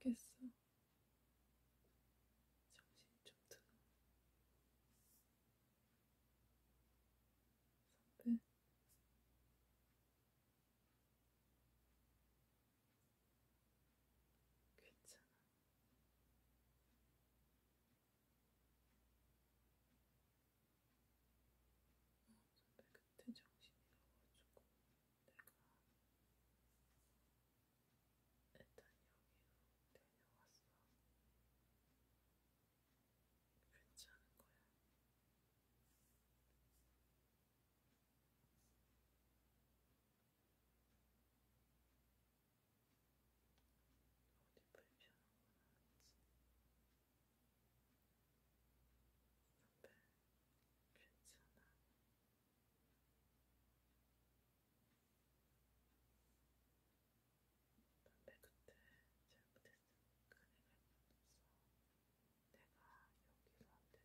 죽겠어. 정신 좀 들어. 선배. 괜찮아. 선배 그때 정신이 나가지고 내가 일단 여기로 데려왔어. 괜찮은 거야. 어디 불편한 건 아니지. 옆에 괜찮아. 담배 그때 잘못했으니까 내가 뻔했어. 내가 여기로 안 데려왔으면 담배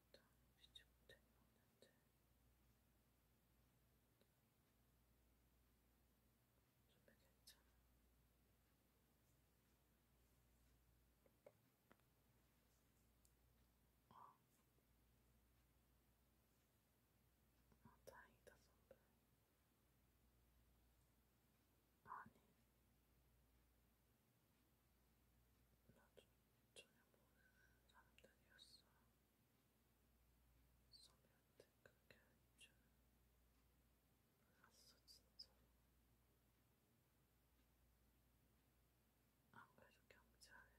진짜 미치 못해 먹는데 좀에 괜찮아. 아, 아 다행이다 선배. 아니, 전혀 모르는 사람들이었어. 소비한테 그렇게 할 줄은 몰랐어, 진짜로. 안 그래도 경찰에서 지금 확인하고 있어. 근데 아직 못 찾았대.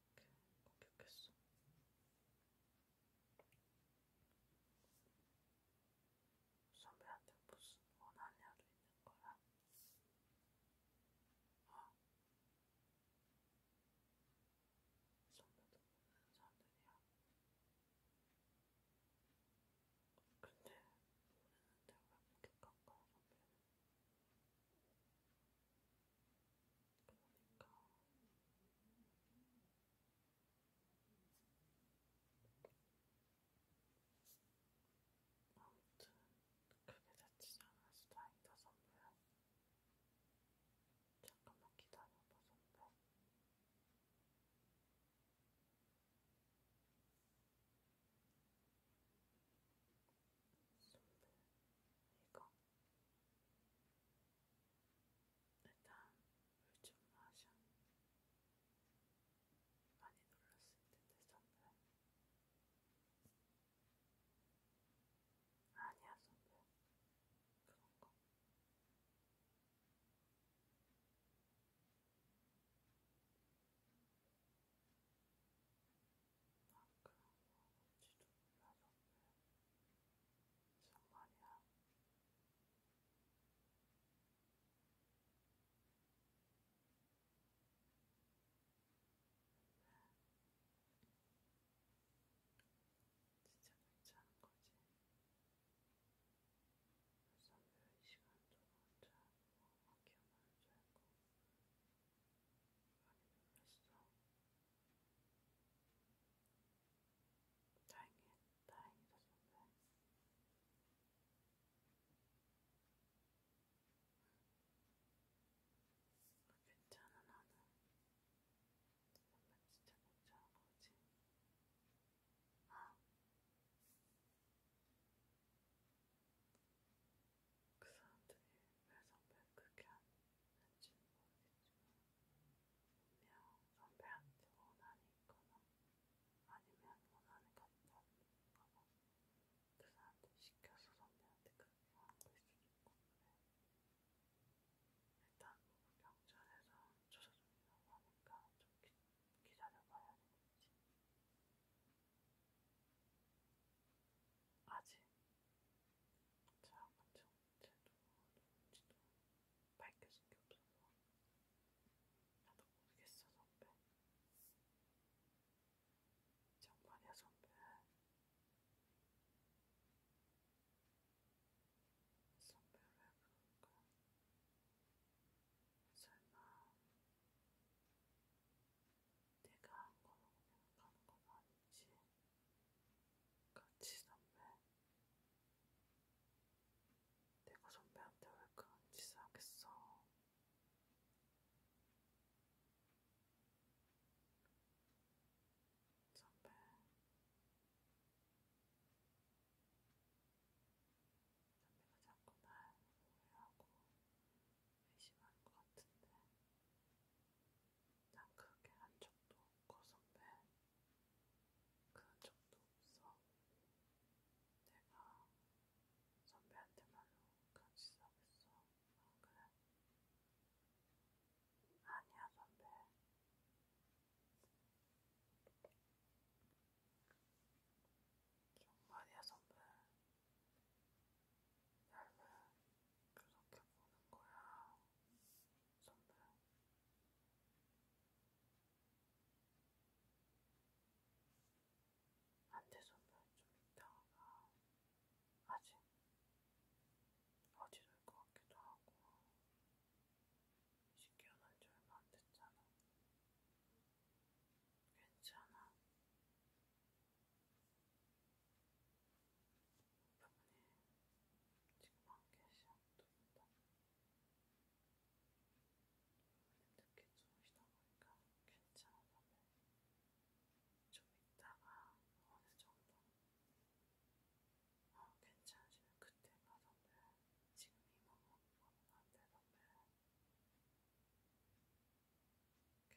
이렇게 공격했어. 선배한테 무슨 원하냐도 있는 거야? 어? 선배도 모르는 사람들이야? 근데 모르는데 왜 공격한 거야 선배는? 그러니까 아무튼 크게 다치지 않아서 다행이다 선배야. 잠깐만 기다려봐 선배. 선배, 이거 일단 물좀 마셔. 많이 놀랐을 텐데 선배. 아니야 선배. 그런 거. 먹을지도 몰라서 그래. 말이야. 진짜 괜찮은 거지. 선배 시간도 혼자 기억나는 줄 알고 많이 놀랐어. 다행히, 다행이다, 정말. 괜찮아, 나는. 정말 진짜 괜찮은 거지. 아. 그 사람들이 왜 선배를 그렇게 하는지는 모르겠지만 분명 선배한테 원한이 있거나 아니면 원한이 갔다는 거나 그 사람들이 시켜서 선배한테 그렇게 한거 있을 수 있고 그래 일단 뭐 경찰에서 조사 중이라고 하니까 좀 기, 기다려봐야 되겠지 아직 자아가 정체도 누군지도 밝혀진 게 없어서 나도 모르겠어 선배. 정말이야 선배. 선배 왜 그럴까? 설마 내가 한 거라고 생각하는 건 아니지. 같이 선배. 내가 선배한테 왜 그런 짓을 하겠어. 선배. 선배가 자꾸 날 오해하고 의심할 것 같은데 난 그렇게 한 적도 없고 선배 그런 적도 없어 내가 선배한테 말로 그런 짓을 하겠어 안 아, 그래? 아니야 선배 정말이야 선배 얇은 그렇게 보는 거야, 선배. 안돼 선배, 좀 이따가 아직 어지러울 것 같기도 하고 이제 깨어난 지 얼마 안 됐잖아. 괜찮아. 부분이 아, 네. 지금 한개 시작됩니다. 특히 주무시다 보니까 괜찮은데 좀 있다가 어느 정도 어, 괜찮으시면 그때 가던데 지금 이만 먹는 거는 안 되던데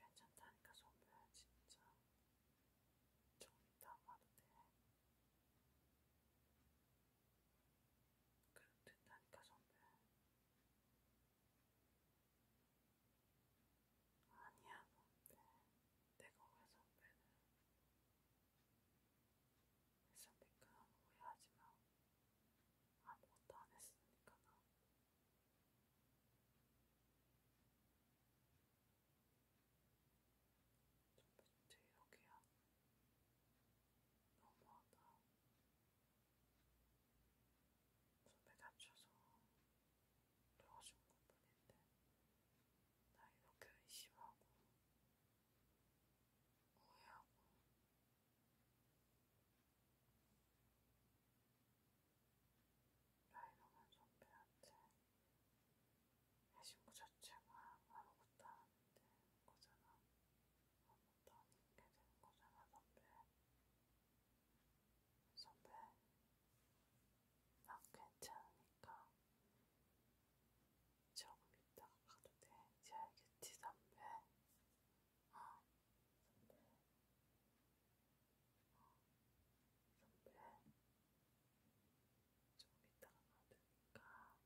괜찮다니까 좀비야 진짜. 좀 이따 와도 돼. 그럼 된다니까 좀비야. 아니야 뭔데 내가 왜 선배는 선배가 오해하지마 아무것도 안했으니까 나 첫번째 이렇게야 너무하다 손에 다쳐서 도와준 것뿐인데 나 이렇게 의심하고 오해하고 라이너는 좀비한테 해신구 자체가 아무것도 아닌데 거잖아. 아무것도 아닌 게 되는 거잖아, 선배. 선배, 난 괜찮으니까 조금 있다가 가도 돼. 이제 알겠지, 선배? 어? 선배, 어, 선배, 조금 이따가 받으니까 너무 분이 안 했으면 좋겠어. 아니야, 선배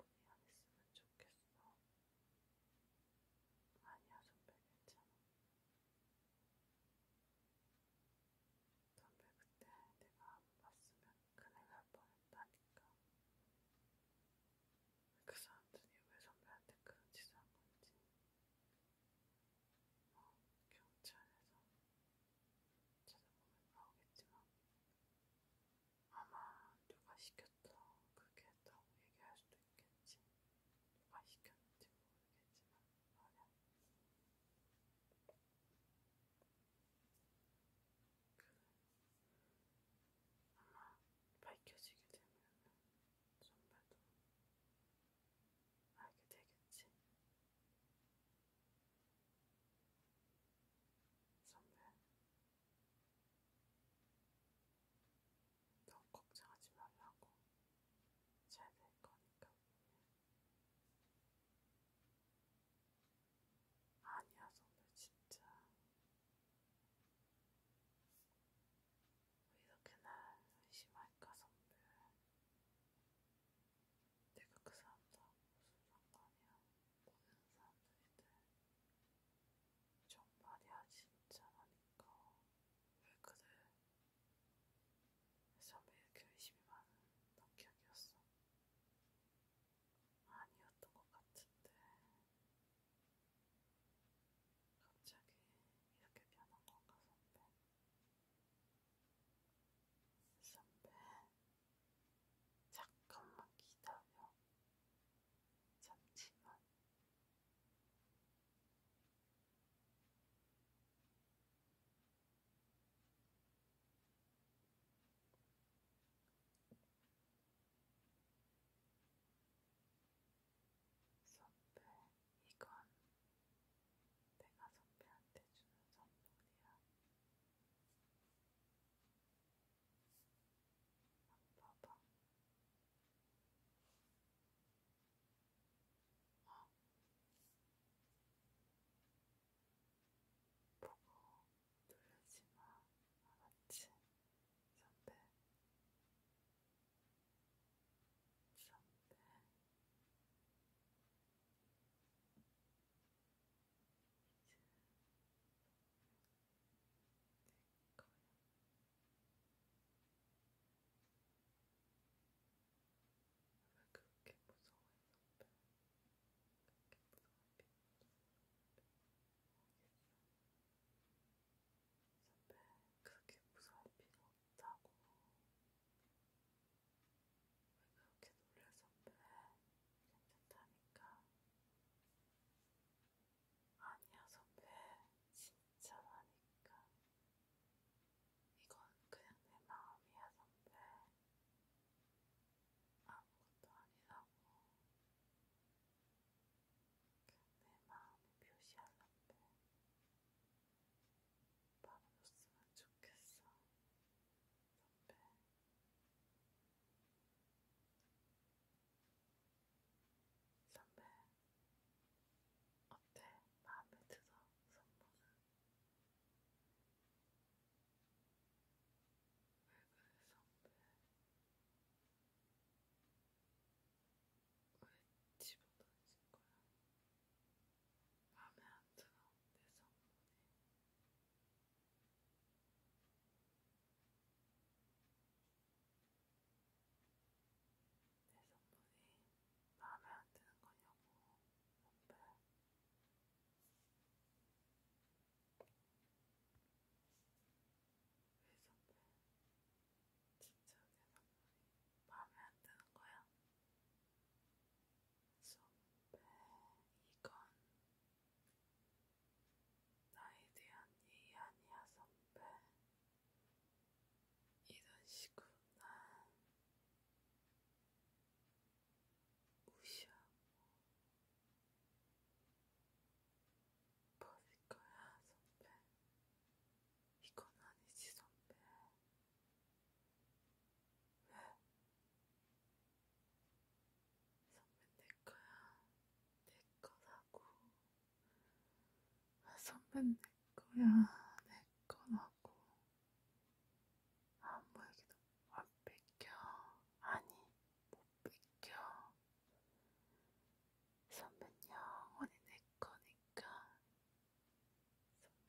괜찮아. 선배 그때 내가 안 봤으면 큰일 날 뻔했다니까. 그 사람들이 왜 선배한테 그런 짓을 한 건지 어, 경찰에서 찾아보면 나오겠지만 아마 누가 시켰다 그렇게 했다고 얘기할 수도 있겠지 누가 시켰는지 모르겠지만 말이야 아마 밝혀지게 되면 선배도 알게 되겠지. 선배, 너무 걱정하지 말라고. 잘 될 거니까. 아니야, 선배, 진짜. 왜 이렇게 날 의심할까 선배 내가 그 사람들하고 무슨 상관이야 모르는 사람들인데 정말이야 진짜라니까 그러니까. 왜 그래 선배 이렇게 의심이 많은 성격이었어 아니었던 것 같은데 갑자기 이렇게 변한 건가 선배? 선배, 잠깐만 기다려. 잠시만. 선배, 이건 내가 선배한테 주는 선물이야. 안 봐봐. 어? 보고 놀라지마 알았지? 선배 선배 이제 내거야 왜 그렇게 무서워해 선배 그렇게 무서워해 선배 선배, 그렇게 무서울 필요 없다고. 왜 그렇게 놀래, 선배? 괜찮다니까. 아니야, 선배. 진짜라니까. 이건 그냥 내 마음이야, 선배. 아무것도 아니라고 내 마음이 표시할란데 바로줬으면 좋겠어 선배 선배 어때? 마음에 들어? 선물은? 붉은 성분 왜 집어던진 거야? 마음에 안 들어 내 성분이 내 성분이 마음에 안 드는 거냐고 오빠 왜 선배 진짜 대답이 마음에 안 드는 거야? 선배 이건 나에 대한 얘기 아니야 선배 이런 식으로 난 무시하고 버릴 거야 선배. 이건 아니지 선배. 왜? 선배 내 거야. 내 거라고. 아, 선배 내 거야. 내 거라고. 아무 얘기도 안 뺏겨. 아니. 못 비켜. 선배 영원히 내 거니까.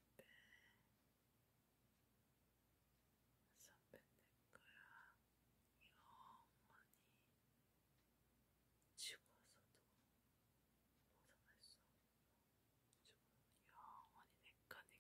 선배. 선배 내 거야. 영원히. 죽어서도 벗어날 수 없고. 죽어도 영원히 내 거니까.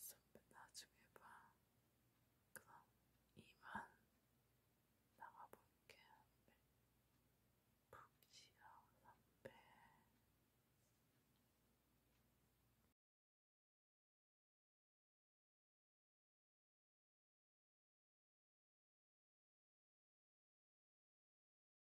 선배 나중에 봐. 그럼 이만 나가볼게. 푹시어 선배.